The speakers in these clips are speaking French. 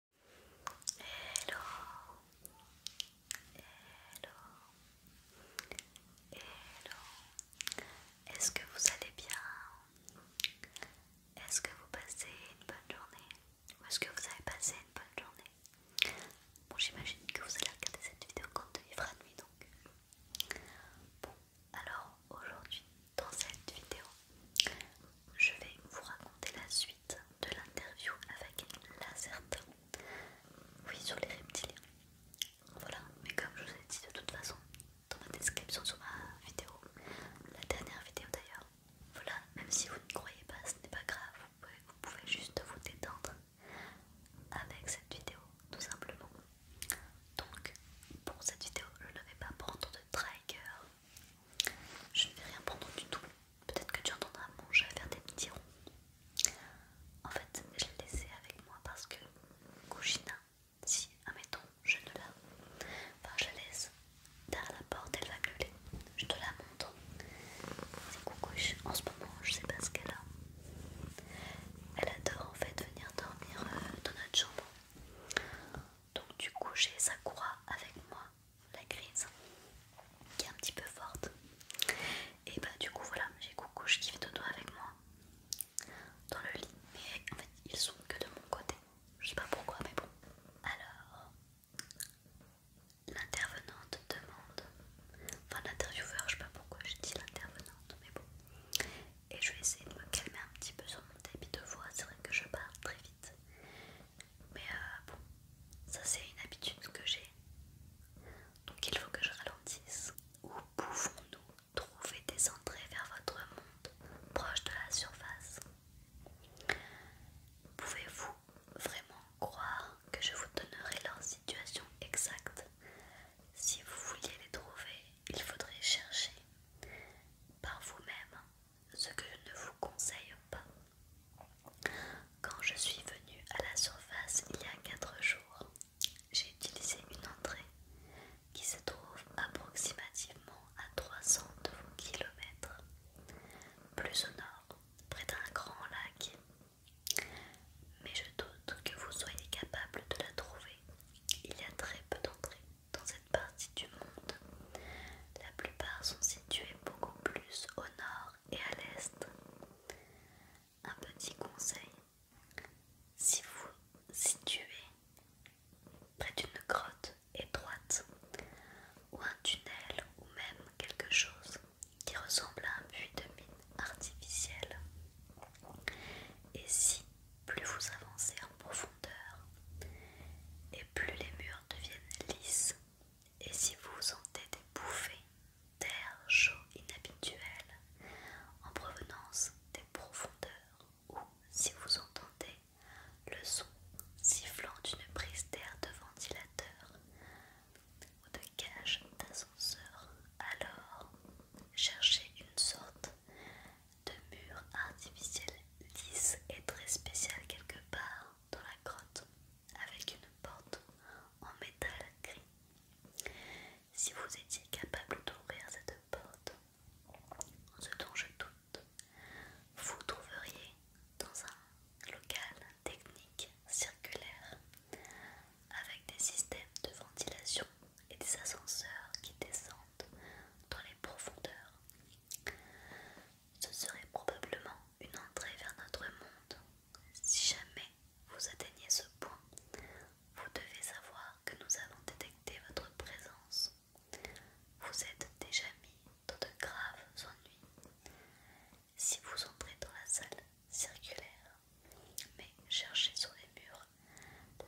Hello, hello, hello. Est-ce que vous allez bien Est-ce que vous passez une bonne journée Ou est-ce que vous avez passé une bonne journée Bon, j'imagine que vous allez regarder cette vidéo quand il à nuit, donc. Bon, alors aujourd'hui, dans cette vidéo, je vais vous raconter la suite de l'interview avec Lazerte. Oui, sur les reptiliens. Voilà, mais comme je vous ai dit de toute façon, dans la description sous ma vidéo, la dernière vidéo d'ailleurs, voilà, même si vous ne croyez pas, ce n'est pas grave, vous pouvez, vous pouvez juste vous détendre avec cette vidéo, tout simplement. Donc, pour cette vidéo, je ne vais pas prendre de trigger, je ne vais rien prendre du tout. Peut-être que tu entendras mon à faire des petits ronds. En fait, je l'ai laissé avec moi parce que Kouchina, si, admettons, je ne la... Enfin, je la laisse derrière la porte, elle va miauler. Je te la montre. C'est En ce moment, je sais pas ce qu'elle a. Elle adore en fait venir dormir euh, dans notre chambre. Donc du coup, j'ai sa croix avec moi la crise qui est un petit peu forte. Et bah du coup voilà, j'ai Coucou, je kiffe Dodo avec moi dans le lit. Mais en fait ils sont que de mon côté. Je sais pas pourquoi mais bon. Alors l'intervenante demande, enfin l'intervieweur, je sais pas pourquoi je dis l'intervenante mais bon. Et je vais essayer de me calmer un petit peu sur mon débit de voix, c'est vrai que je parle très vite. Mais euh, bon, ça c'est une habitude que j'ai. Donc il faut que je ralentisse. Où pouvons-nous trouver des entrées vers votre monde proche de la surface Pouvez-vous vraiment croire que je vous donnerai leur situation exacte Si vous vouliez les trouver, il faudrait chercher par vous-même ce que je ne vous conseille pas. Quand je suis venue à la surface il y a 4 jours, j'ai utilisé une entrée qui se trouve approximativement à 300 km plus au nord, près d'un grand lac. Mais je doute que vous soyez capable de la trouver. Il y a très peu d'entrées dans cette partie du monde. La plupart sont es beaucoup plus au nord et à l'est. Un petit conseil, si vous situez près d'une grotte étroite ou un tunnel ou même quelque chose qui ressemble à un puits de mine artificiel, et si plus vous avancez en profondeur et plus les murs deviennent lisses, et si vous sentez des bouffées d'air chaud inhabituel en provenance des profondeurs ou si vous entendez le son sifflant d'une prise d'air de ventilateur ou de cage d'ascenseur, alors cherchez une sorte de mur artificiel lisse et très spécial quelque part dans la grotte avec une porte en métal gris. Si vous étiez capable d'ouvrir cette porte, ce dont je doute, vous trouveriez dans un local technique circulaire avec des systèmes de ventilation et des ascenseurs qui descendent dans les profondeurs ce serait probablement une entrée vers notre monde. Si jamais vous atteignez ce point, vous devez savoir que nous avons détecté votre présence. Vous êtes déjà mis dans de graves ennuis. Si vous entrez dans la salle circulaire, mais cherchez sur les murs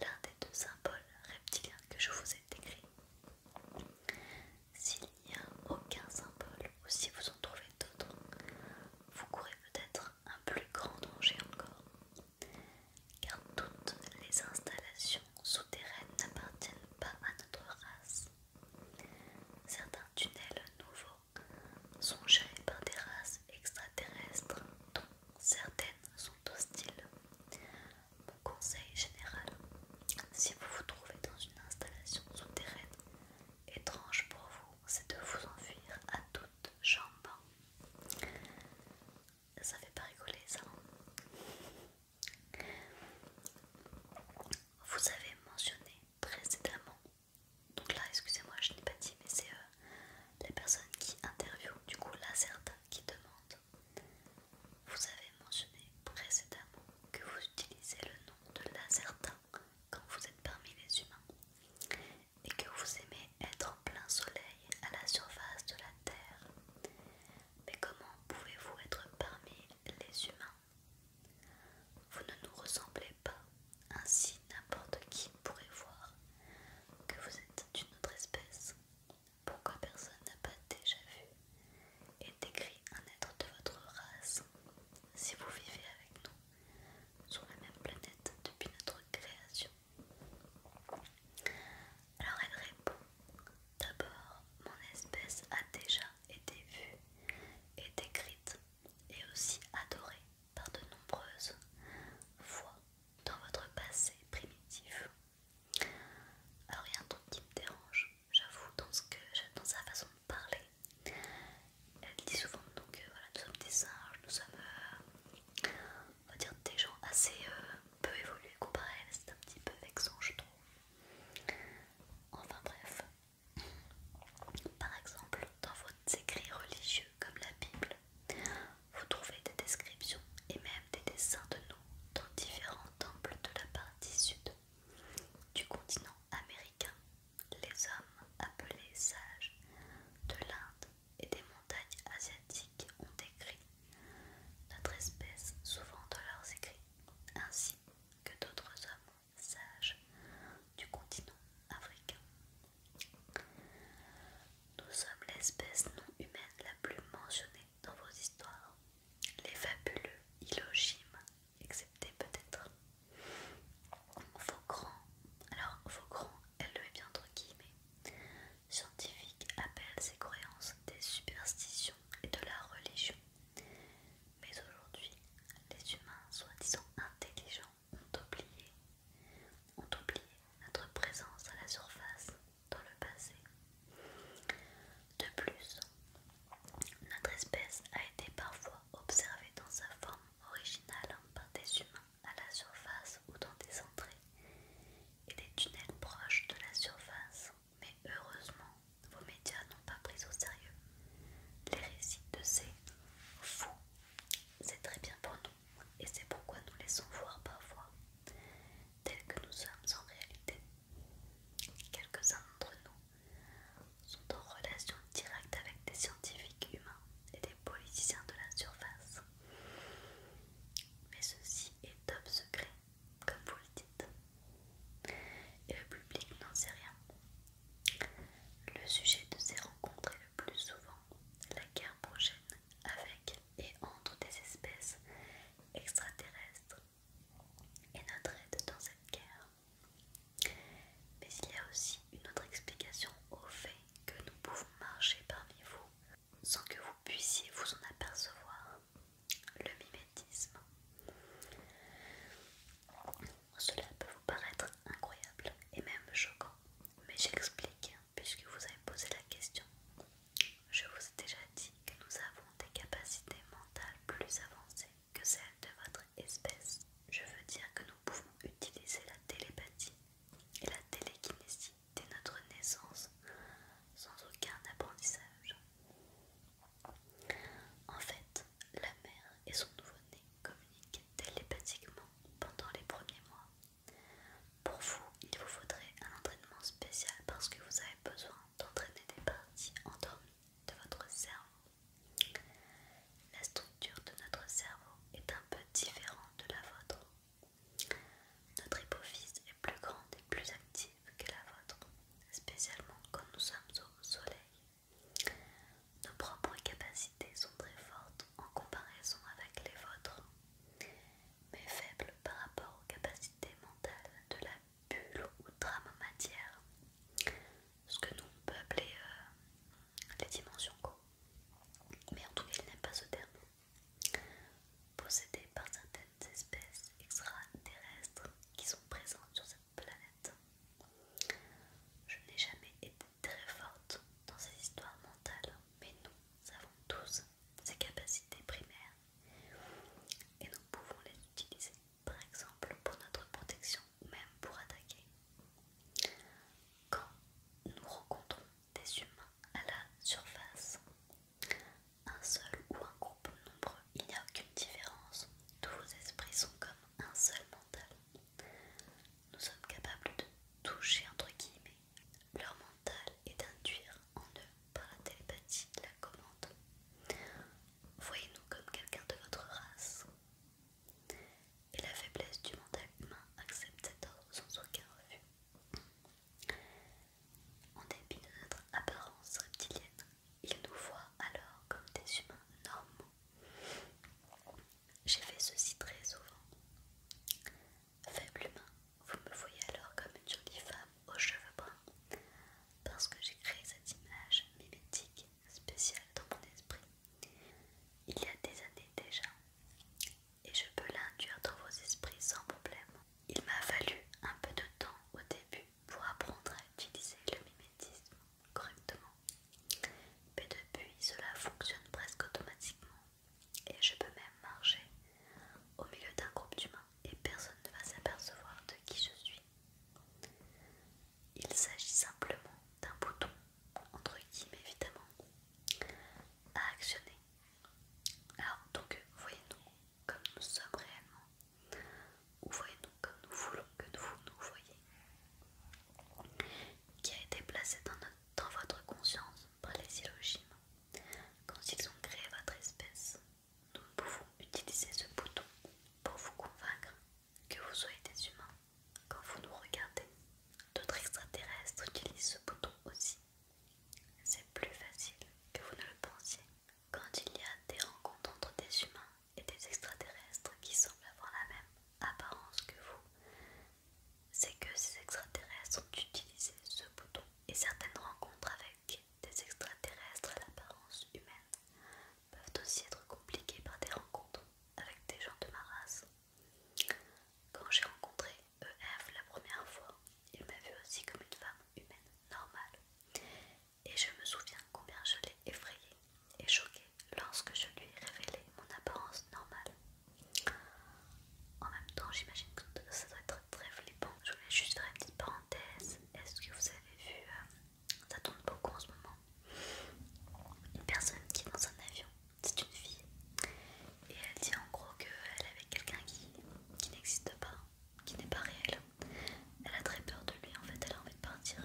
l'un des deux symboles reptiliens que je vous ai décrits. S'il n'y a aucun symbole ou si vous en trouvez d'autres, vous courez peut-être un plus grand danger encore, car toutes les installations souterraines n'appartiennent pas à notre race. Certains tunnels nouveaux sont gérés par des races extraterrestres dont certaines sont hostiles. Mon conseil général si vous vous trouvez dans une installation souterraine, étrange pour vous, c'est de vous enfuir à toute jambes. Ça fait pas rigoler ça. Vous avez mentionné précédemment, donc là excusez-moi je n'ai pas dit mais c'est euh, les personnes qui interviewent, du coup là certains qui demandent. Vous avez mentionné précédemment que vous utilisez le nom de l'Azertin quand vous êtes parmi les humains et que vous aimez être en plein soleil à la surface de la Terre. Mais comment pouvez-vous être parmi les humains Vous ne nous ressemblez pas, ainsi n'importe qui pourrait voir que vous êtes d'une autre espèce. Pourquoi personne n'a pas déjà vu et décrit un être de votre race si vous vivez avec nous sur la même planète depuis notre création. Alors elle répond D'abord, mon espèce a déjà été vue et décrite et aussi adorée par de nombreuses fois dans votre passé primitif. Alors rien y a un qui me dérange, j'avoue, dans, ce que, dans sa façon de parler. Elle dit souvent donc euh, voilà, nous sommes des singes, nous sommes euh, des gens assez euh, peu évolués comparé à elle, c'est un petit peu vexant je trouve. Enfin bref, par exemple dans vos écrits religieux comme la Bible, vous trouvez des descriptions et même des dessins de nous dans différents temples de la partie sud du continent américain, les hommes appelés sages de l'Inde et des montagnes asiatiques ont écrit notre espèce souvent dans leurs écrits, ainsi que d'autres hommes sages du continent africain. Nous sommes l'espèce non humaine la plus mentionnée dans vos histoires. Les fabuleux Hiloshima excepté peut-être Faucran. Alors, Faucran, elle le met bien entre guillemets. Scientifique appelle ces croyances des superstitions et de la religion. Mais aujourd'hui, les humains soi-disant intelligents ont oublié, ont oublié notre présence à la surface dans le passé. De plus, notre espèce a été parfois observée dans sa forme originale par des humains à la surface ou dans des entrées et des tunnels proches de la surface, mais heureusement, vos médias n'ont pas pris au sérieux les récits de ces fous. C'est très bien pour nous et c'est pourquoi nous laissons voir parfois tels que nous sommes en réalité. Quelques-uns d'entre nous sont en relation directe avec des scientifiques humains et des politiciens de la surface. Mais ceci est top secret, comme vous le dites. Et le public n'en sait rien. Le sujet de ces rencontres est le plus souvent la guerre prochaine avec et entre des espèces extraterrestres et notre aide dans cette guerre. Mais il y a aussi une autre explication au fait que nous pouvons marcher parmi vous sans que vous puissiez vous en apercevoir, le mimétisme. Cela peut vous paraître incroyable et même choquant, mais j'explique puisque vous avez posé la question. Je vous ai déjà dit que nous avons des capacités mentales plus avancées que celle de votre espèce. Je veux dire que nous pouvons utiliser la télépathie et la télékinésie dès notre naissance sans aucun apprentissage. En fait, la mère et son nouveau-né communiquent télépathiquement pendant les premiers mois. Pour vous, il vous faudrait un entraînement spécial parce que vous avez besoin d'entraîner des parties endormies de votre cerveau la structure de notre cerveau est un peu différente de la vôtre. Notre hypophyse est plus grande et plus active que la vôtre, spécialement quand nous sommes au soleil. Nos propres capacités sont très fortes en comparaison avec les vôtres, mais faibles par rapport aux capacités mentales de la vie bulles ou en matière, ce que nous on peut appeler euh, les dimensions co. Mais en tout cas, il n'aime pas ce terme. possédé par certaines espèces extraterrestres qui sont présentes sur cette planète. Je n'ai jamais été très forte dans ces histoires mentales, mais nous avons tous ces capacités primaires et nous pouvons les utiliser par exemple pour notre protection ou même pour attaquer. Quand nous rencontrons des humains à la surface, un seul ou un groupe nombreux, il n'y a aucune différence. Tous vos esprits sont comme un seul mental. Nous sommes capables de toucher entre guillemets leur mental et d'induire en eux par la télépathie la commande. Voyez-nous comme quelqu'un de votre race et la faiblesse du mental humain accepte cet ordre sans aucun refus. En dépit de notre apparence reptilienne, il nous voit alors comme des humains normaux. J'ai fait ceci très souvent. Faible humain, vous me voyez alors comme une jolie femme aux cheveux bruns, parce que j'ai créé cette image mimétique spécial dans mon esprit il y a des années déjà et je peux l'induire dans vos esprits sans problème. Il m'a fallu un peu de temps au début pour apprendre à utiliser le mimétisme correctement, mais depuis cela fonctionne presque automatiquement et je peux même marcher au milieu d'un groupe d'humains et personne ne va s'apercevoir de qui je suis. Il s'agit simplement d'un bouton, entre guillemets évidemment, à actionner. Alors donc, voyez-nous comme nous sommes réellement, ou voyez-nous comme nous voulons que vous nous voyez, qui a été placé dans, votre conscience par les syllogismes. Quand ils ont créé votre espèce, nous pouvons utiliser ce bouton pour vous convaincre que vous soyez des humains quand vous nous regardez. D'autres extraterrestres utilisent ce bouton aussi. C'est plus facile que vous ne le pensiez. Quand il y a des rencontres entre des humains et des extraterrestres qui semblent avoir la même apparence que vous, c'est que ces extraterrestres ont utilisé ce bouton et certaines rencontres avec des extraterrestres à l'apparence humaine peuvent aussi être compliquées par des rencontres avec des gens de ma race. Quand j'ai rencontré EF la première fois, il m'a vu aussi comme une femme humaine normale. Et je me souviens combien je l'ai effrayée et choquée lorsque je lui ai révélé mon apparence normale. En même temps, j'imagine que ça doit être très flippant. Je voulais juste faire une petite parenthèse. Est-ce que vous avez vu euh, ça tombe beaucoup en ce moment. Une personne qui est dans un avion, c'est une fille, et elle dit en gros qu'elle est avec quelqu'un qui, n'existe pas, qui n'est pas réel. Elle a très peur de lui en fait, elle a envie de partir.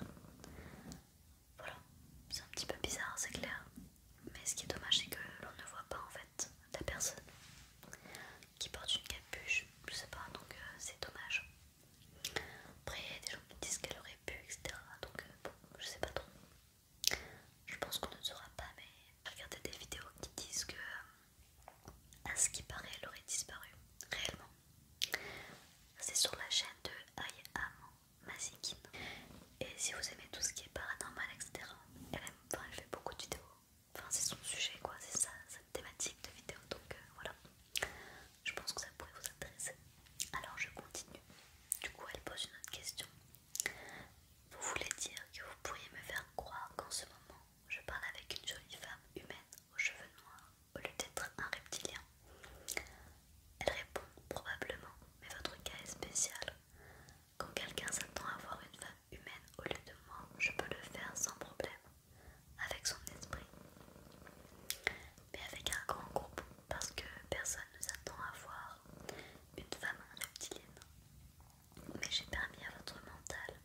Voilà, c'est un petit peu bizarre, c'est clair. Mais ce qui est dommage, c'est que l'on ne voit pas en fait la personne qui porte une capuche, je sais pas, donc euh, c'est dommage. Après, il y a des gens qui disent qu'elle aurait pu, etc. Donc, euh, bon, je sais pas trop. Je pense qu'on ne saura pas, mais regardez des vidéos qui disent que, euh, à ce qui paraît, elle aurait disparu réellement. C'est sur la chaîne de I Am Et si vous aimez tout ce qui est paranormal, etc., elle, fait beaucoup de vidéos. Enfin, c'est son sujet, quoi, c'est ça sa thématique de vidéos, Donc, euh, voilà. Je pense que ça pourrait vous intéresser. Alors je continue. Du coup, elle pose une autre question. Vous voulez dire que vous pourriez me faire croire qu'en ce moment, je parle avec une jolie femme humaine aux cheveux noirs au lieu d'être un reptilien Elle répond probablement, mais votre cas est spécial. Quand quelqu'un s'attend à voir une femme humaine au lieu de moi, je peux le faire sans problème, avec son esprit mais avec un grand groupe parce que personne ne s'attend à voir une femme reptilienne. Mais j'ai permis à votre mental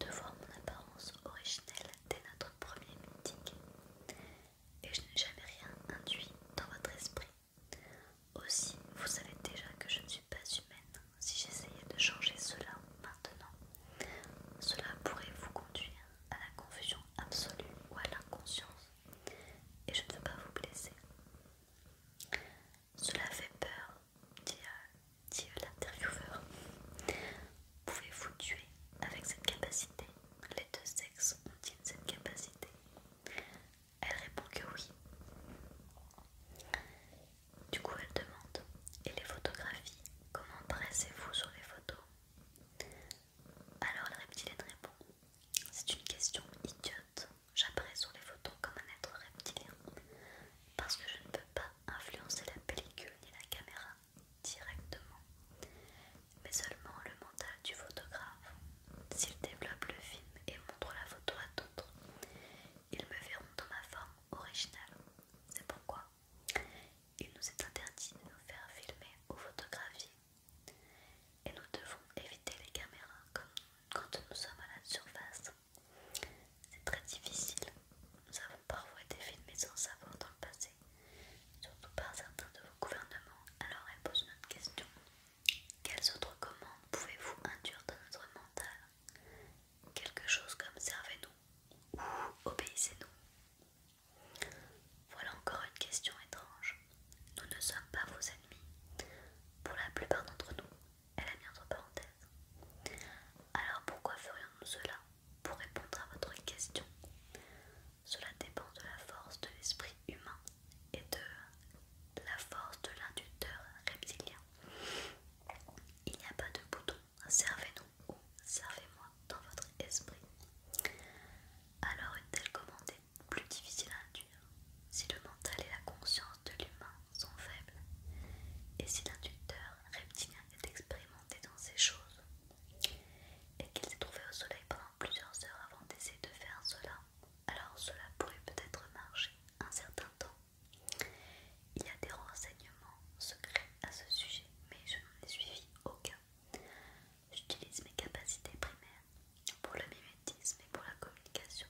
de voir mon apparence originelle dès notre premier meeting. Et je n'ai jamais rien induit dans votre esprit. Aussi, vous savez déjà que je ne suis pas humaine. Si j'essayais de changer cela maintenant, cela pourrait vous conduire à la confusion absolue ou à l'inconscience et je ne veux pas vous blesser. Cela fait peur, dit, euh, euh, l'intervieweur. Pouvez-vous tuer avec cette capacité Les deux sexes ont cette capacité Elle répond que oui. Du coup, elle demande Et les photographies Comment pressez vous sur les photos alors le reptilienne répond C'est une question idiote. J'apparais sur les photos comme un être reptilien parce que je ne peux pas influencer la pellicule ni la caméra directement, mais seulement le mental du photographe. S'il développe le film et montre la photo à d'autres, ils me verront dans ma forme originale. C'est pourquoi il nous est interdit de nous faire filmer ou photographier et nous devons éviter les caméras quand nous sommes à la surface. C'est très difficile. Nous avons parfois été filmés sans savoir dans le passé, surtout par certains de vos gouvernements. Alors elle pose notre question. Quelles autres commandes pouvez-vous induire dans notre mental Quelque chose comme servez-nous ou obéissez-nous voilà encore une question étrange. Nous ne sommes pas vos ennemis. Pour la plupart d'entre nous, elle a mis entre parenthèses. Alors pourquoi ferions-nous cela Pour répondre à votre question, cela dépend de la force de l'esprit humain et de la force de l'inducteur reptilien. Il n'y a pas de bouton. Servez nous servez-moi dans votre esprit. Alors est-elle commande plus difficile à induire si le mental et la conscience de l'humain sont faibles et si l'inducteur reptilien est expérimenté dans ces choses et qu'il s'est trouvé au soleil pendant plusieurs heures avant d'essayer de faire cela, alors cela pourrait peut-être marcher un certain temps. Il y a des renseignements secrets à ce sujet, mais je n'en ai suivi aucun. J'utilise mes capacités primaires pour le mimétisme et pour la communication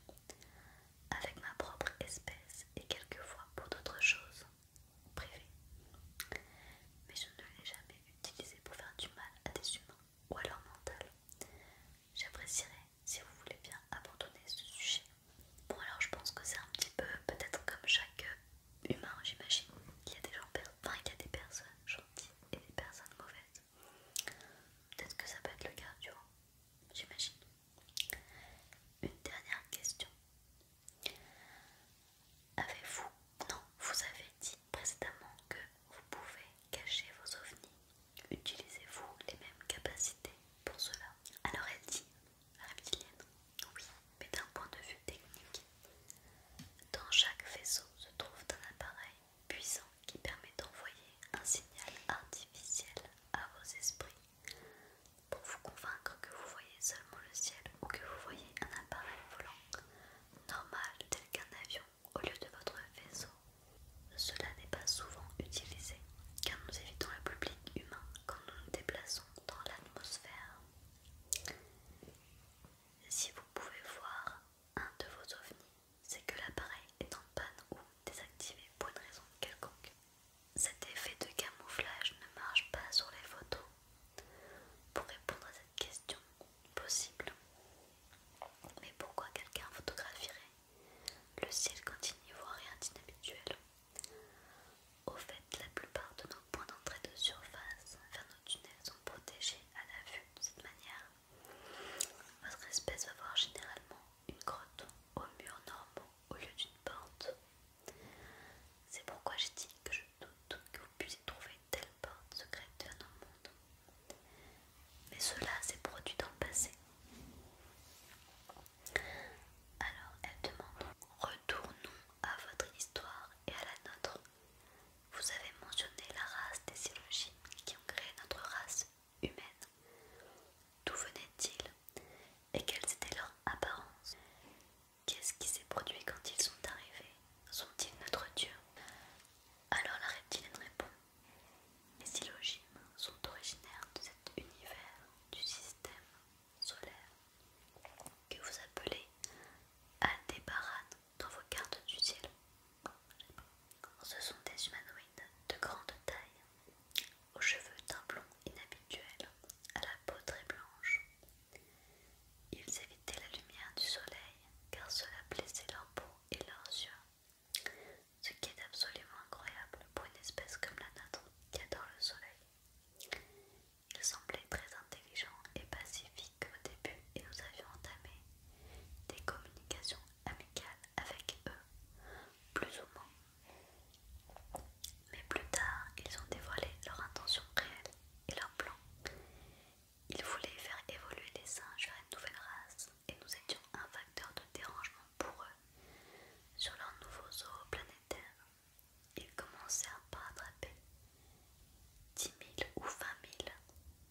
avec ma propre espèce et quelquefois pour d'autres choses privées. Mais je ne l'ai jamais utilisé pour faire du mal à des humains ou à leur mental. J'apprécierais si vous voulez bien abandonner ce sujet. Bon alors je pense que c'est un petit peu peut-être comme chaque humain, j'imagine. qu'il y a des gens, enfin, il y a des personnes gentilles et des personnes mauvaises. Peut-être que ça peut être le cas, tu vois. J'imagine. Une dernière question. Avez-vous, non, vous avez dit précédemment que vous pouvez cacher vos ovnis. Utilisez-vous les mêmes capacités pour cela Alors elle dit, reptilienne, oui mais d'un point de vue technique. Dans chaque vaisseau se trouve un appareil puissant qui permet d'envoyer un signal artificiel à vos esprits pour vous convaincre que vous voyez seulement le ciel ou que vous voyez un appareil volant normal tel qu'un avion au lieu de votre vaisseau. Cela n'est pas souvent utilisé car nous évitons le public humain quand nous nous déplaçons dans l'atmosphère. Si vous pouvez voir un de vos ovnis, c'est que l'appareil est en panne ou désactivé pour une raison quelconque. Cet effet de camouflage ne marche pas sur les photos. Pour répondre à cette question, possible. Mais pourquoi quelqu'un photographierait le ciel quand il n'y voit rien d'inhabituel Au fait, la plupart de nos Point d'entrée de surface vers nos tunnels sont protégés à la vue de cette manière. Votre espèce va voir généralement une grotte au mur normaux au lieu d'une porte. C'est pourquoi j'ai dit que je doute que vous puissiez trouver telle porte secrète dans nos monde. Mais cela s'est produit dans le passé. Alors elle demande Retournons à votre histoire et à la nôtre. Vous avez mentionné la race des silogimes qui ont créé notre race humaine. D'où venaient-ils et quelles étaient leurs apparences Qu'est-ce qui s'est produit quand ils sont arrivés Sont-ils notre Dieu Alors la reptilienne répond Les silogimes sont originaires de cet univers du système solaire que vous appelez Aldébaran dans vos cartes du ciel. Ce sont des humanoïdes de grande taille, aux cheveux d'un blond inhabituel, à la peau très blanche. Ils évitaient la lumière du soleil car cela blessait leur peau et leurs yeux, ce qui est absolument incroyable pour une espèce comme la nôtre qui adore le soleil. Ils semblaient très intelligents et pacifiques au début et nous avions entamé des communications amicales avec eux, plus ou moins. Mais plus tard, ils ont dévoilé leur intention réelle et leur plan. Ils voulaient faire évoluer les singes vers une nouvelle race et nous étions un facteur de dérangement pour eux sur leur nouveau zoo planétaire. Ils commencèrent par attraper dix mille ou vingt mille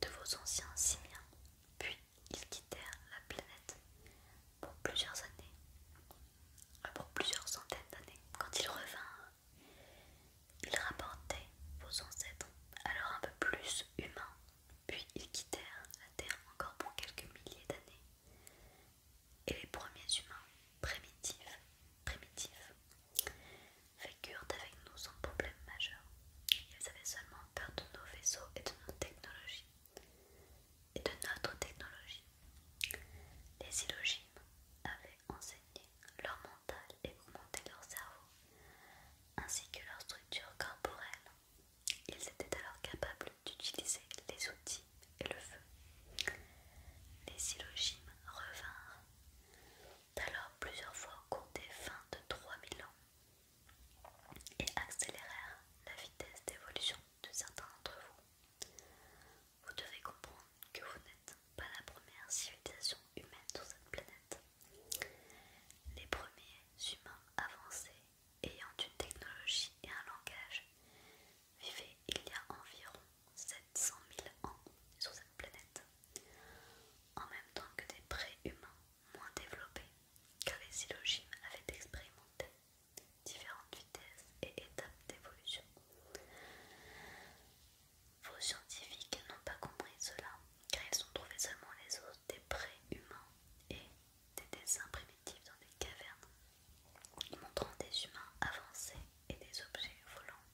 de vos anciens simiens, puis ils quittèrent la planète pour plusieurs années, euh, pour plusieurs centaines d'années. Quand ils revinrent, ils rapportaient vos ancêtres, alors un peu plus humains, puis ils quittèrent la Terre encore pour quelques milliers d'années. Et les premiers humains primitifs, primitifs vécurent avec nous sans problème majeur. Ils avaient seulement peur de nos vaisseaux et de nos technologies. Et de notre technologie. Les illogimes avaient enseigné leur mental et augmenté leur cerveau, ainsi que leur structure corporelle. Ils étaient alors capables d'utiliser les outils et le feu. Les illogimes revinrent alors plusieurs fois des fins de 3000 ans et accélérèrent la vitesse d'évolution de certains d'entre vous. Vous devez comprendre que vous n'êtes pas la première civilisation humaine sur cette planète. Les premiers humains avancés ayant une technologie et un langage vivaient il y a environ 7 100 000 ans sur cette planète, en même temps que des humains moins développés, car les Silogimes avaient expérimenté différentes vitesses et étapes d'évolution. Vos scientifiques n'ont pas compris cela, car ils ont trouvé seulement les os des humains et des dessins primitifs dans des cavernes, montrant des humains avancés et des objets volants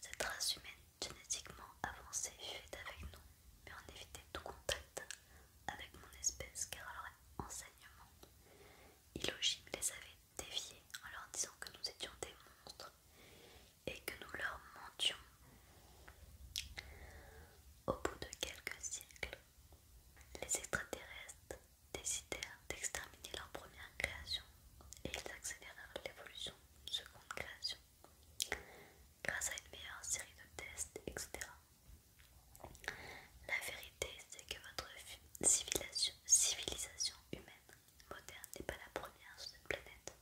cette race humaine génétiquement avancée vivait avec nous, mais en évitait tout contact avec mon espèce car leur enseignement illogime les avait déviés en leur disant que nous étions des monstres et que nous leur mentions. Au bout de quelques siècles, les extraterrestres décidèrent d'exterminer leur première création et ils accélérèrent l'évolution seconde création, grâce à une meilleure série de tests, etc. La vérité, c'est que votre civilisation, civilisation humaine moderne n'est pas la première sur cette planète,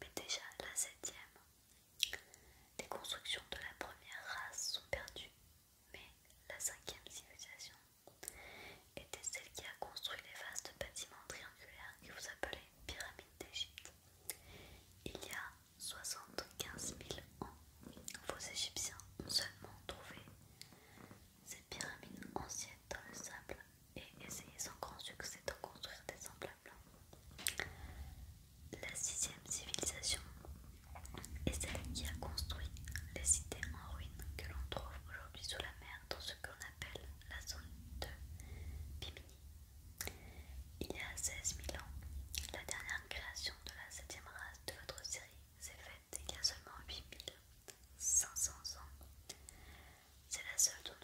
mais déjà la septième. Les constructions de la première race sont perdues, mais la cinquième civilisation était celle qui a construit les vastes bâtiments triangulaires que vous appelez pyramides d'Égypte. Il y a 75 000 ans, vos Égyptiens ont seulement trouvé ces pyramides anciennes dans le sable et essayé sans grand succès d'en construire des semblables. La sixième civilisation est celle qui a construit les cités en ruines que l'on trouve aujourd'hui sous la mer dans ce qu'on appelle la zone de Bimini. Il y a 16 000 ans, la dernière création de la 7ème race de votre série s'est faite il y a seulement 500 ans. C'est la seule dont,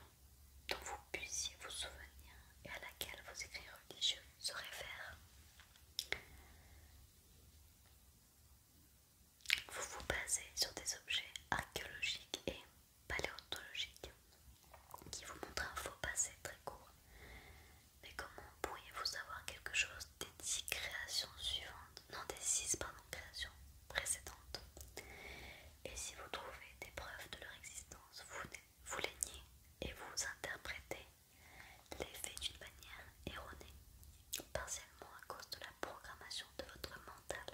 dont vous puissiez vous souvenir et à laquelle vos écrits religieux se réfèrent. Vous vous basez sur des objets archéologiques et paléontologique qui vous montre un faux passé très court. Mais comment pourriez-vous avoir quelque chose des 10 créations suivantes Non, des six pardon, créations précédentes. Et si vous trouvez des preuves de leur existence, vous, vous les niez et vous interprétez les faits d'une manière erronée, partiellement à cause de la programmation de votre mental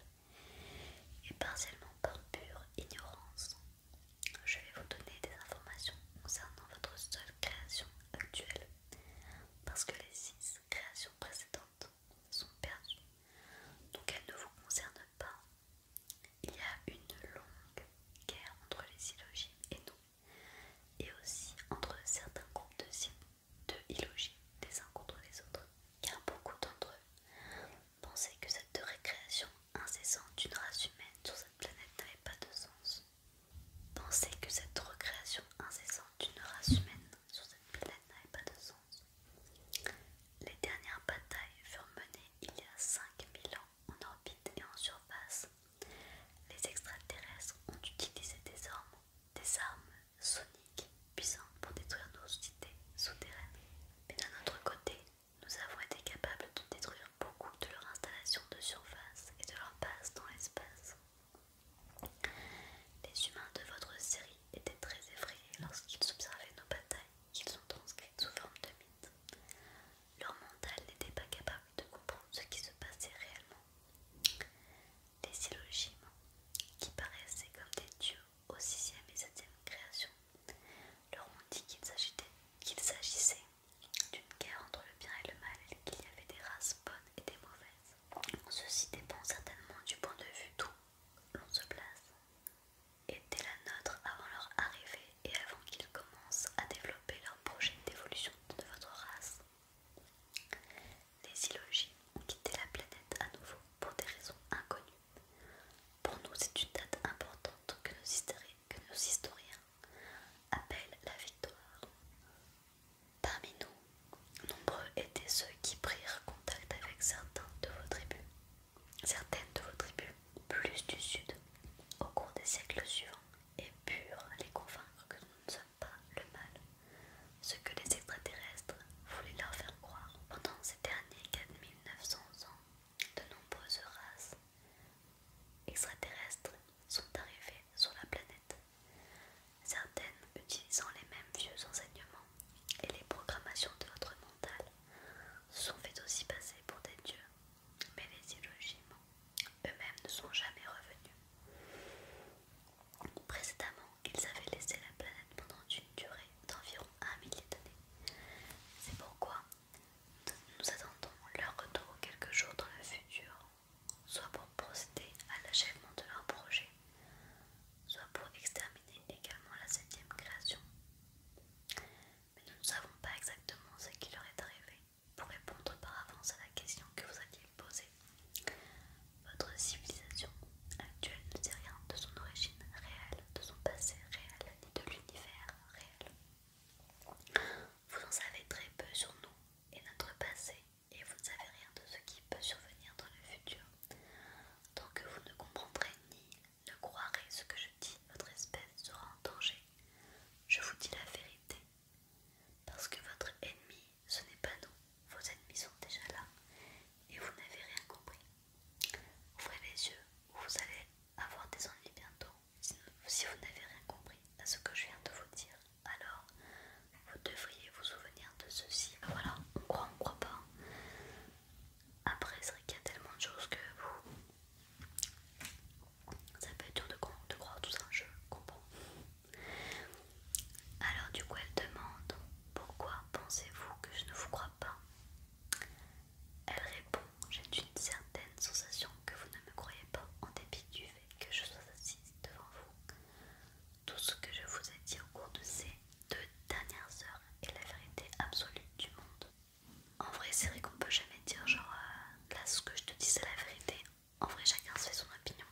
et partiellement par pure ignorance. Je vais vous donner des informations concernant votre seule création actuelle, parce que les six créations précédentes sont perdues, donc elles ne vous concernent pas. Il y a une longue guerre entre les illogies et nous, et aussi entre certains groupes de, de des uns contre les autres, car beaucoup d'entre eux Penser que cette récréation incessante d'une race humaine sur cette planète n'avait pas de sens. Penser que cette recréation incessante d'une race humaine sur cette planète n'avait pas de sens. Les dernières batailles furent menées il y a 5000 ans en orbite et en surface. Les extraterrestres ont utilisé des armes sonique puissant pour détruire nos cités souterraines. Mais d'un autre côté, nous avons été capables de détruire beaucoup de leurs installations de surface et de leurs bases dans l'espace. Les humains de votre série étaient très effrayés lorsqu'ils observaient nos batailles qu'ils ont transcrites sous forme de mythes. Leur mental n'était pas capable de comprendre ce qui se passait réellement. Des syllogismes, qui paraissaient comme des dieux aux sixième et septième créations, leur ont dit qu'il s'agissait d'une guerre entre le bien et le mal, qu'il y avait des races bonnes et des mauvaises. Ceci dépend certainement du point de vue d'où l'on se place, était la nôtre avant leur arrivée et avant qu'ils commencent à développer leur projet d'évolution de votre race. Les illogies ont quitté la planète à nouveau pour des raisons inconnues. Pour nous, c'est une date importante que nos, historiens appellent la victoire. Parmi nous, nombreux étaient ceux qui prirent contact avec certains de vos tribus, certaines de vos tribus plus du sud au cours des siècles suivants et purent les convaincre que nous ne sommes pas le mal, ce que les extraterrestres voulaient leur faire croire pendant ces derniers 4000 900 ans, de nombreuses races extraterrestres sont arrivées sur la planète, certaines utilisant les mêmes vieux enseignements et les programmations de votre mental sont fait aussi passer pour des dieux, mais les illogiquement eux-mêmes ne sont jamais revenus. Précédemment, ils avaient laissé la planète pendant une durée d'environ un millier d'années. C'est pourquoi nous attendons leur retour quelques jours dans le futur, soit pour procéder à l'achèvement de leur projet, soit pour exterminer également la septième création. Mais nous ne savons pas exactement ce qui leur est arrivé. Pour répondre par avance à la question que vous aviez posée, votre civilisation actuelle ne sait rien de son origine réelle, de son passé réel, ni de l'univers réel. Vous en savez très peu sur nous et notre passé, et vous ne savez rien de ce qui peut survenir dans le futur. Tant que vous ne comprendrez ni ne croirez ce que je dis, votre espèce sera en danger. Je vous dis la vérité. Parce que votre ennemi, ce n'est pas nous. Vos ennemis sont déjà là et vous n'avez rien compris. Ouvrez les yeux vous allez avoir des ennuis bientôt. Si vous n'avez rien compris à ce que je viens de vous dire, alors vous devriez vous souvenir de ceci. Ah, voilà, on croit, on croit pas. Hein. Après, c'est vrai qu'il y a tellement de choses que vous. Ça peut être dur de, de croire tout ça, je comprends. Alors, du coup, elle demande Pourquoi pensez-vous que je ne vous crois pas elle répond J'ai une certaine sensation que vous ne me croyez pas en dépit du fait que je sois assise devant vous. Tout ce que je vous ai dit au cours de ces deux dernières heures est la vérité absolue du monde. En vrai, c'est vrai qu'on peut jamais dire genre euh, là ce que je te dis c'est la vérité. En vrai, chacun se fait son opinion.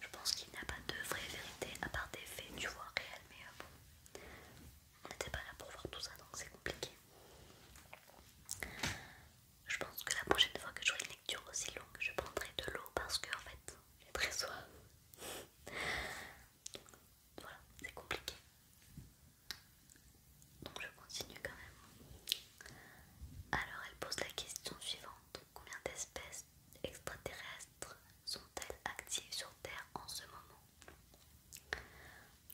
Je pense qu'il n'y a pas de vraie vérité à part des faits, du vois, réel, mais euh, bon on n'était pas là pour voir tout ça donc c'est compliqué. Je pense que la prochaine fois que je ferai une lecture aussi longue, je prendrai de l'eau parce que en fait j'ai très soif. voilà, c'est compliqué. Donc je continue quand même. Alors elle pose la question suivante. Combien d'espèces extraterrestres sont-elles actives sur Terre en ce moment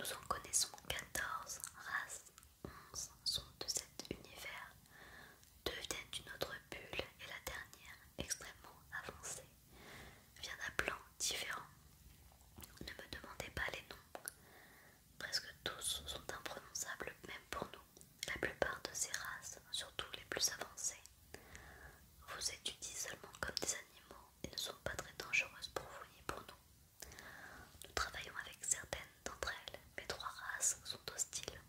nous en connaissons 14 races, 11 sont de cet univers, deux viennent d'une autre bulle et la dernière, extrêmement avancée, vient d'un plan différent. Ne me demandez pas les noms, presque tous sont imprononçables même pour nous. La plupart de ces races, surtout les plus avancées, vous étudient seulement comme des animaux et ne sont pas très dangereuses pour vous ni pour nous. Nous travaillons avec certaines d'entre elles, mais trois races sont hostiles,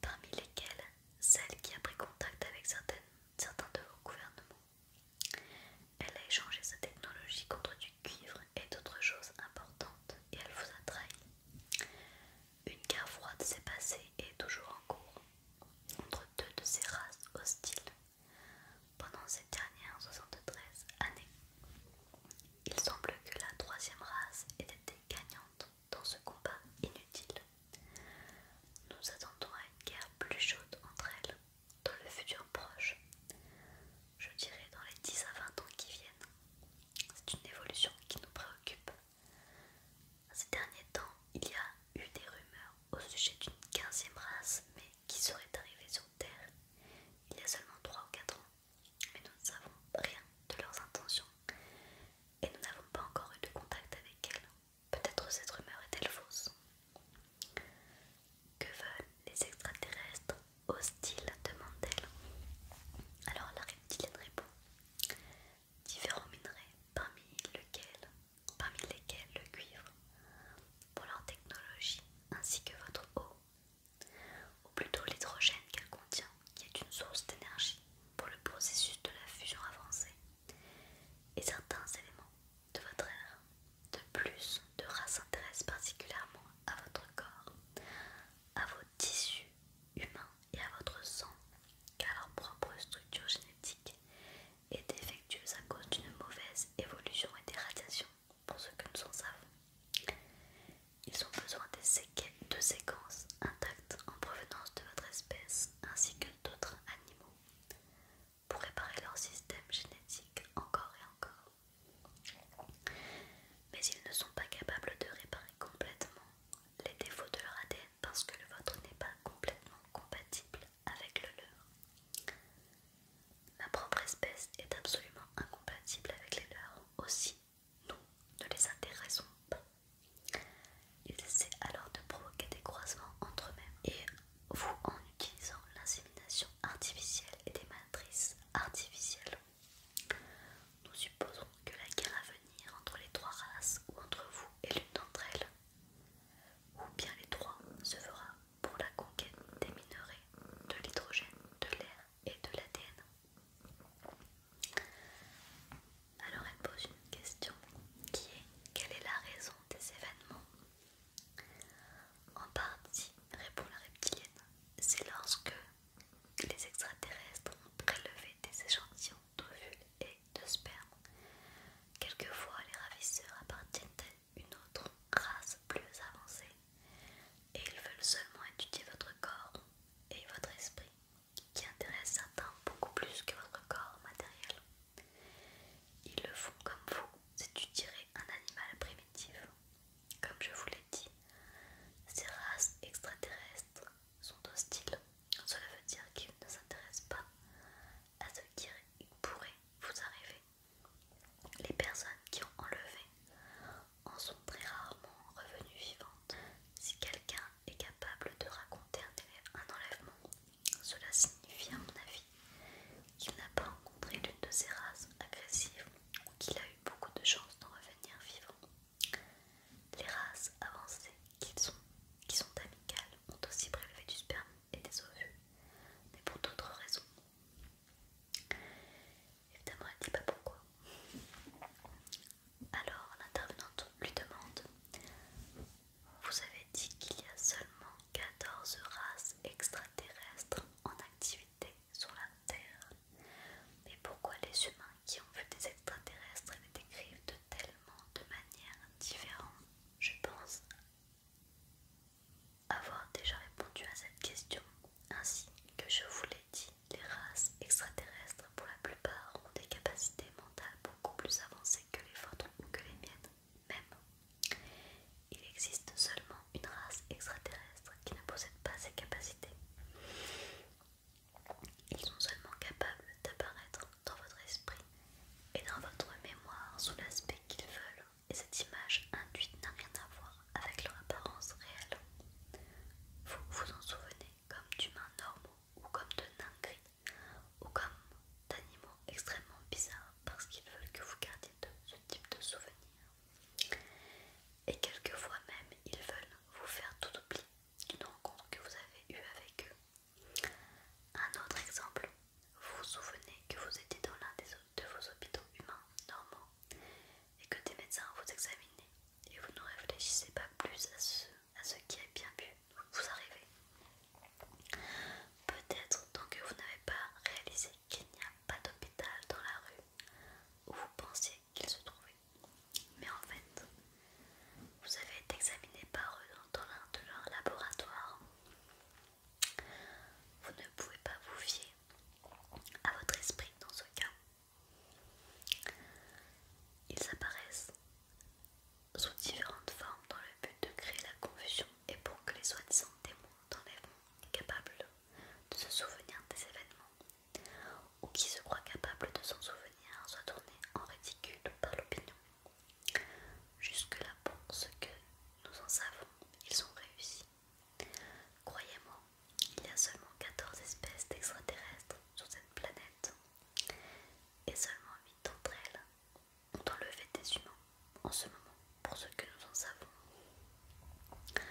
parmi lesquelles celle qui a pris contact avec certains de vos gouvernements. Elle a échangé sa technologie contre du cuivre et d'autres choses importantes et elle vous a trahi. Une guerre froide s'est passée et est toujours en cours entre deux de ces races hostiles. Pendant ces dernières 73 années, il semble que la troisième race ait été gagnante dans ce combat inutile. Nous attendons à une guerre plus chaude entre elles dans le futur proche. Je dirais dans les 10 à 20 ans qui viennent. C'est une évolution qui nous préoccupe. Ces derniers temps, il y a eu des rumeurs au sujet d'une 15 quinzième race, mais qui serait arrivée sur Terre il y a seulement 3 ou 4 ans, mais nous ne savons rien de leurs intentions et nous n'avons pas encore eu de contact avec elles. Peut-être cette rumeur est-elle fausse. Que veulent les extraterrestres hostiles demande-t-elle. Alors la reptilienne répond différents minerais parmi, lesquels, parmi lesquels le cuivre pour leur technologie ainsi que votre eau, ou plutôt l'hydrogène qu'elle contient qui est une source d'énergie pour le processus de la fusion avancée et certains éléments de votre air. De plus, de intéressent particulièrement à votre corps, à vos tissus humains et à votre sang, car leur propre structure génétique est défectueuse à cause d'une mauvaise évolution et des radiations, pour ceux que nous en savons. Ils ont besoin de séquences intactes en provenance de votre espèce ainsi que d'autres animaux pour réparer leur système génétique encore et encore. Mais ils ne sont pas capables de réparer complètement les défauts de leur ADN parce que le vôtre n'est pas complètement compatible avec le leur. Ma propre espèce est absolument incompatible avec les leurs, aussi nous ne les intéressons pas. Ils essaient alors de provoquer des croisements entre eux-mêmes et vous en utilisant l'insémination artificielle et des matrices artificielles. Nous supposons que la guerre à venir entre les trois races ou entre vous et l'une d'entre elles ou bien les trois se fera pour la conquête des minerais, de l'hydrogène, de l'air et de l'ADN. Alors elle pose une question qui est quelle est la raison des événements En partie, répond la reptilienne, c'est lorsque les extraterrestres ont prélevé des échantillons d'ovules et de sperme. Quelquefois, les ravisseurs appartiennent à une autre race plus avancée et ils veulent seulement étudier votre corps et votre esprit, qui intéresse certains beaucoup plus que votre corps matériel. Ils le font comme vous étudierez un animal primitif. Comme je vous l'ai dit, ces races extraterrestres sont hostiles. Cela veut dire qu'ils ne s'intéressent pas à ce qui pourrait vous arriver. Les personnes qui ont enlevé en sont très rarement revenues vivantes. Si quelqu'un est capable de raconter un, enlèvement, cela signifie à mon avis qu'il n'a pas rencontré l'une de ces races agressives ou qu'il a eu beaucoup de chance d'en revenir vivant. Les races avancées qui sont, qui sont amicales ont aussi prélevé du sperme et des ovules, mais pour d'autres raisons. Évidemment, elle ne dit pas pourquoi. Alors, l'intervenante lui demande Vous avez dit qu'il y a seulement 14 races extraterrestres en activité sur la Terre. Mais pourquoi les humains qui ont vu des extraterrestres les décrivent de tellement de manières différentes, Je pense avoir déjà répondu à cette question. Ainsi que je vous l'ai dit, les races extraterrestres pour la plupart ont des capacités mentales beaucoup plus avancées que les photons ou que les miennes même. Il existe seulement une race extraterrestre qui ne possède pas ces capacités. Ils sont seulement capables d'apparaître dans votre esprit et dans votre mémoire sous l'aspect qu'ils veulent et cette image induite n'a rien à voir avec leur apparence réelle. Vous vous en souvenez comme d'humains normaux ou comme de nains gris ou comme d'animaux extrêmement bizarres parce qu'ils veulent que vous gardiez ce type de souvenir. Et quelquefois même ils veulent vous faire tout oublier d'une rencontre que vous avez eu avec eux un autre exemple, vous vous souvenez que vous étiez dans l'un de vos hôpitaux humains normaux et que des médecins vous examinaient et vous ne réfléchissez pas plus à ce, qui a bien pu vous arriver. Peut-être tant que vous n'avez pas réalisé qu'il n'y a pas d'hôpital dans la rue où vous pensiez qu'il se trouvait. Mais en fait, vous avez été examiné par eux dans l'un de leurs laboratoires vous ne pouvez pas vous fier à votre esprit dans ce cas. Ils apparaissent sous différentes formes dans le but de créer la confusion et pour que les soi-disant démons d'enlèvement capables de se souvenir des événements ou qui se croient capables de s'en souvenir soient tournés en ridicule par l'opinion Jusque-là, pour ce que nous en savons, ils ont réussi. Croyez-moi, il y a seulement 14 espèces d'extraterrestres sur cette planète, et seulement 8 d'entre elles ont enlevé des humains en ce moment, pour ce que nous en savons.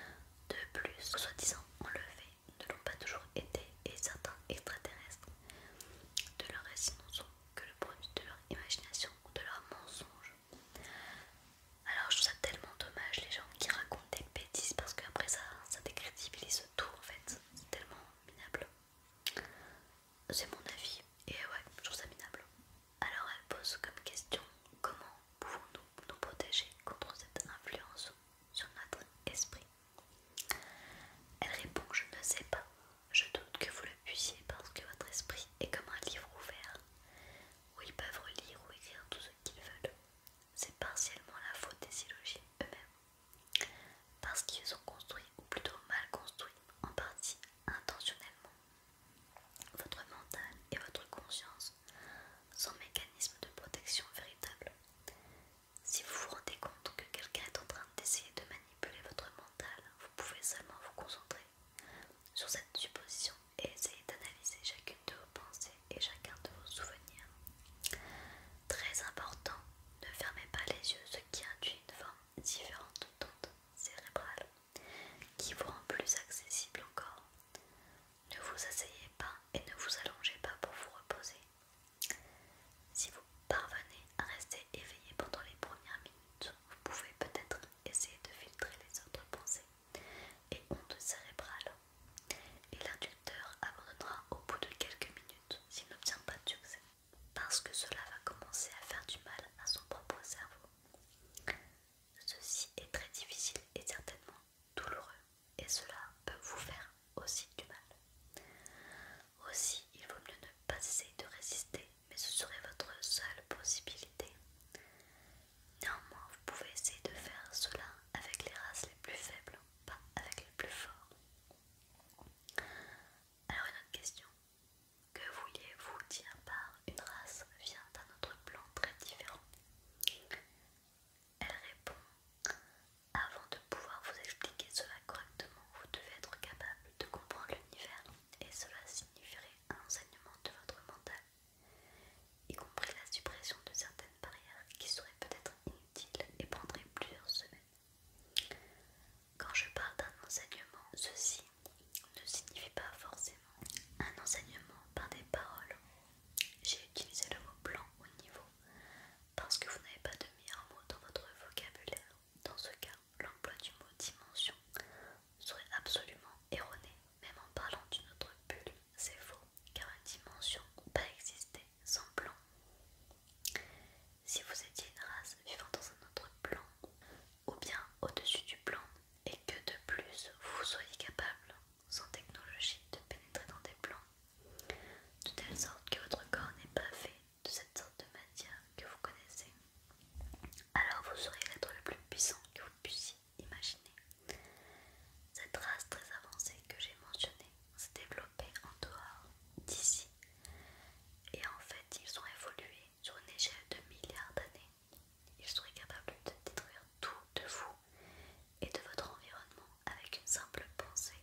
De plus, soi-disant enlevés ne l'ont pas toujours été, et certains extraterrestres de leur récit sont que le produit de leur imagination ou de leur mensonge. Alors je trouve ça tellement dommage les gens qui racontent des bêtises parce qu'après ça, ça décrédibilise tout en fait. C'est tellement minable. C'est mon avis et ouais, je trouve ça minable. Alors elle pose comme question comment pouvons-nous nous protéger contre cette influence sur notre esprit Elle répond je ne sais pas, je doute que vous le puissiez parce que votre esprit est comme un livre ouvert où ils peuvent relire ou écrire tout ce qu'ils veulent. C'est partiellement la faute des syllogismes eux-mêmes, parce qu'ils sont construits, ou plutôt mal construits, en partie intentionnellement. Votre mental et votre conscience sont mécanismes de protection véritable. Si vous vous rendez compte que quelqu'un est en train d'essayer de manipuler votre mental, vous pouvez seulement vous concentrer sur cette supposition et essayer d'analyser chacune de vos pensées et chacun de vos souvenirs. Très important, ne fermez pas les yeux, ce qui induit une forme différente d'onde cérébrale qui vous rend plus accessible encore. Ne vous asseyez pas et ne vous allongez pas pour vous reposer. Si vous parvenez à rester éveillé pendant les premières minutes, vous pouvez peut-être essayer de filtrer les autres pensées et ondes cérébrales. Et l'inducteur abandonnera au bout de quelques minutes s'il n'obtient pas de succès, parce que cela va commencer à faire du mal à son propre cerveau. Ceci est très difficile et certainement douloureux, et cela peut vous faire aussi du mal. Aussi, il vaut mieux ne pas essayer de résister, mais ce serait votre seule possibilité. Néanmoins, vous pouvez essayer de faire cela avec les races les plus faibles, pas avec les plus forts. Alors une autre question. Que vouliez-vous dire par une race vient d'un autre plan très différent Elle répond Avant de pouvoir vous expliquer cela correctement, vous devez être capable de comprendre l'univers et cela signifierait un enseignement de votre mental, y compris la suppression de certaines barrières qui seraient peut-être inutiles et prendraient plusieurs semaines. Quand je parle d'un enseignement, ceci ne signifie pas forcément un enseignement par des paroles. J'ai utilisé le mot blanc au niveau parce que vous n'avez pas de meilleur mot dans votre vocabulaire. Dans ce cas, l'emploi du mot dimension serait absolument erroné. Même en parlant d'une autre bulle, c'est faux, car une dimension peut pas sans plan. Si vous étiez une race vivant dans un autre plan, ou bien au-dessus du plan, et que de plus vous soyez capable, sans technologie, de pénétrer dans des plans, de telle sorte que votre corps n'est pas fait de cette sorte de matière que vous connaissez, alors vous serez l'être le plus puissant que vous puissiez imaginer. Cette race très avancée que j'ai mentionnée s'est développée en dehors d'ici, et en fait ils ont évolué sur une échelle de milliards d'années. Ils seraient capables de détruire tout de vous et de votre environnement avec une simple pensée.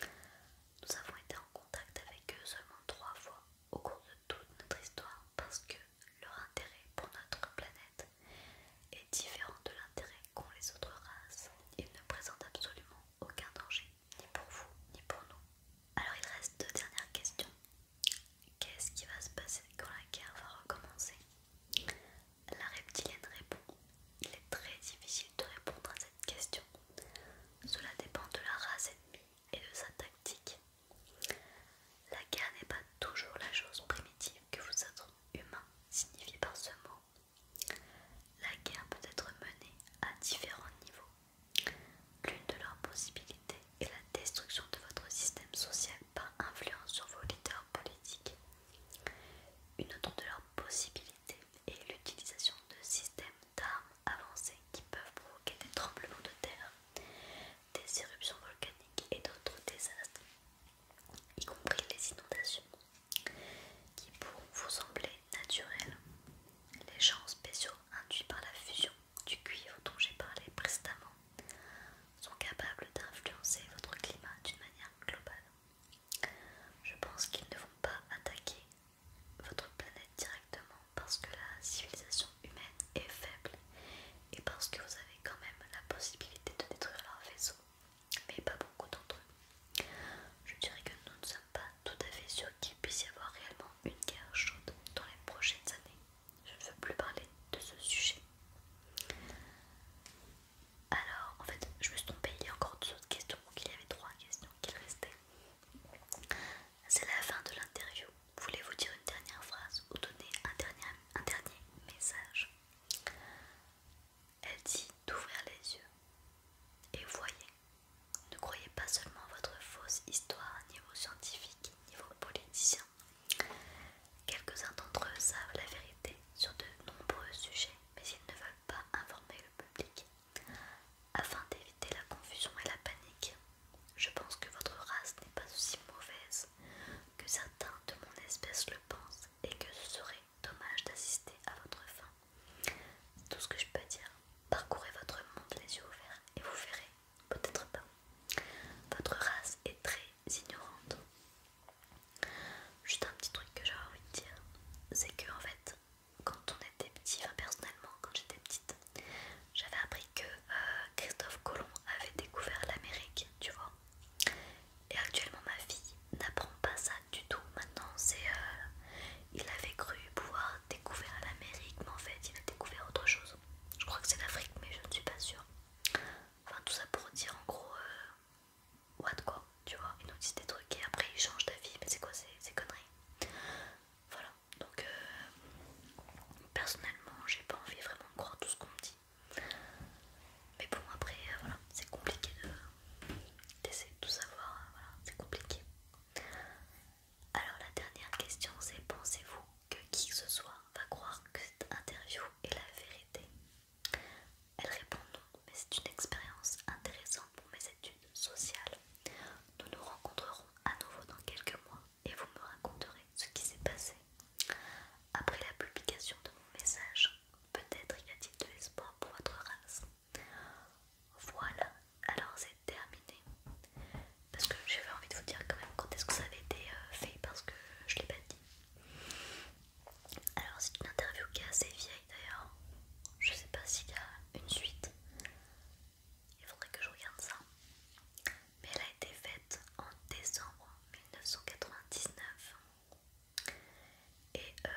Nous avons été en contact avec eux seulement trois fois au cours de toute notre histoire parce que leur intérêt pour notre planète est différent de l'intérêt qu'ont les autres races. Ils ne présentent absolument aucun danger, ni pour vous, ni pour nous. Alors il reste deux dernières questions. Qu'est-ce qui va se passer quand la guerre va recommencer La reptilienne répond. Il est très difficile de répondre à cette question. Cela dépend de la race ennemie et de sa tactique. La guerre n'est pas toujours la chose primitive que vous êtes humain signifie par ce mot. La guerre peut être menée à différents niveaux. L'une de leurs possibilités est la destruction de votre système social par influence sur vos leaders politiques. Une autre de leurs possibilités est l'utilisation de systèmes d'armes avancées qui peuvent provoquer des tremblements de terre, des éruptions volcaniques et d'autres désastres, y compris les inondations, qui pour vous sembler naturelles. Les champs spéciaux induits par la fusion du cuivre dont j'ai parlé précédemment sont capables d'influencer votre climat d'une manière globale. Je pense qu'ils ne vont pas attaquer votre planète directement, parce que la civilisation humaine est faible et parce que vous avez quand même la possibilité de détruire leur vaisseau, mais pas beaucoup d'entre eux. Je dirais que nous ne sommes pas tout à fait sûrs qu'il puisse y avoir réellement une guerre chaude dans les prochaines années. Je ne veux plus parler de ce sujet. Alors, en fait, je me suis trompée, il y a encore deux autres questions, donc il y avait trois questions qui restaient. C'est la fin de l'interview. Voulez-vous dire une dernière phrase ou donner un dernier, message Elle dit d'ouvrir les yeux. Et voyez, ne croyez pas seulement votre fausse histoire niveau scientifique, niveau politicien. Quelques-uns d'entre eux savent la vérité sur de nombreux sujets, mais ils ne veulent pas informer le public. Afin d'éviter la confusion et la panique, je pense que votre race n'est pas aussi mauvaise que certains de mon espèce le pensent et que ce serait dommage d'assister à votre fin. C'est tout ce que je peux dire. Parcourez votre monde les yeux ouverts et vous verrez, peut-être pas. Votre race est très ignorante. Juste un petit truc que j'avais envie de dire, c'est que en fait, quand on était petit, personnellement, quand j'étais petite, j'avais appris que euh, Christophe Colomb avait découvert l'Amérique, tu vois. Et actuellement, ma fille n'apprend pas ça du tout. Maintenant, c'est. Euh, il avait cru pouvoir découvrir l'Amérique, mais en fait, il a découvert autre chose. Je crois que c'est l'Afrique, mais je ne suis pas sûre. Enfin, tout ça pour dire en gros. Euh, what quoi, tu vois. Il nous dit des trucs et après, il change d'avis. Mais c'est quoi c'est ces conneries Voilà donc euh, personnellement j'ai pas envie vraiment de croire tout ce qu'on me dit mais bon après euh, voilà c'est compliqué d'essayer de, tout savoir hein, voilà c'est compliqué alors la dernière question c'est pensez-vous que qui que ce soit va croire que cette interview est la vérité elle répond non mais c'est une expérience intéressante pour mes études sociales nous nous rencontrerons à nouveau dans quelques mois et vous me raconterez ce qui s'est passé. Après la publication de mon message, peut-être y a-t-il de l'espoir pour votre race. Voilà, alors c'est terminé. Parce que j'avais envie de vous dire quand même quand est-ce que ça avait été euh, fait parce que je l'ai pas dit. Alors c'est une interview qui est assez vieille d'ailleurs. Je sais pas s'il y a une suite. Il faudrait que je regarde ça. Mais elle a été faite en décembre 1999. Et euh,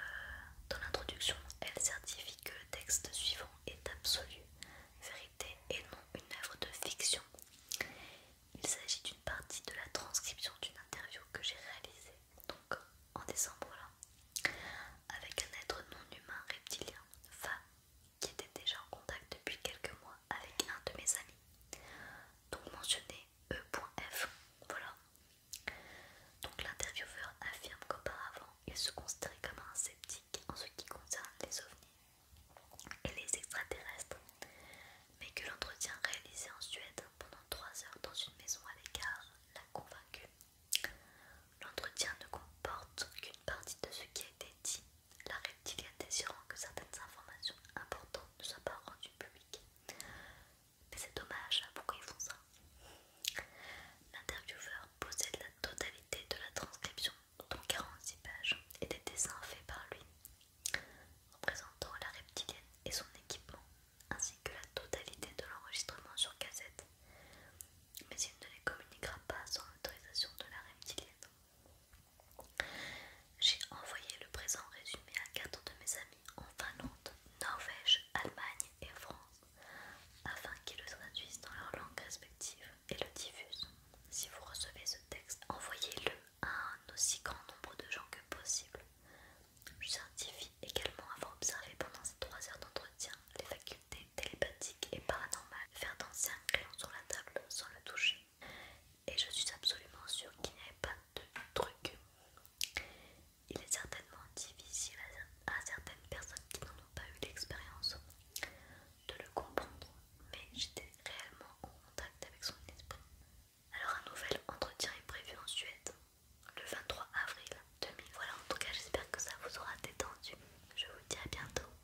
dans l'introduction, elle certifie que le texte suivant est absolu, vérité et non une œuvre de fiction. Il s'agit d'une partie de la transcription d'une interview que j'ai réalisée, donc en décembre là, avec un être non humain reptilien, femme qui était déjà en contact depuis quelques mois avec un de mes amis, donc mentionné E.F. Voilà. Donc l'intervieweur affirme qu'auparavant il se considérait comme un sceptique en ce qui concerne les ovnis et les extraterrestres, mais que l'entretien réalisé en Suède pendant 3 heures dans une maison à l'écart l'a convaincu. L'entretien ne comporte qu'une partie de ce qui a été dit la reptilienne désirant que certaines informations importantes ne soient pas rendues publiques. Mais c'est dommage, pourquoi ils font ça L'intervieweur possède la totalité de la transcription, dont 46 pages, et des dessins faits par lui, représentant la reptilienne et son équipement, ainsi que la totalité de l'enregistrement sur cassette. Mais il ne les communiquera pas sans l'autorisation de la reptilienne. J'ai envoyé le présent résumé à quatre de mes amis en Finlande, Norvège, Allemagne et France afin qu'ils le traduisent dans leur langue respective et le diffusent. Si vous recevez ce texte, envoyez-le à un aussi grand nombre de gens que possible. Je certifie également avoir observé pendant ces trois heures d'entretien les facultés télépathiques et paranormal, faire danser un crayon sur la table sans le toucher. Et je suis absolument sûre qu'il n'y avait pas de truc. Il est certainement difficile à, certaines personnes qui n'en pas eu l'expérience de le comprendre, mais j'étais réellement en contact avec son esprit. Alors un nouvel entretien est prévu en Suède le 23 avril 2000. Voilà, en tout cas j'espère que ça vous aura détendu. Je vous dis à bientôt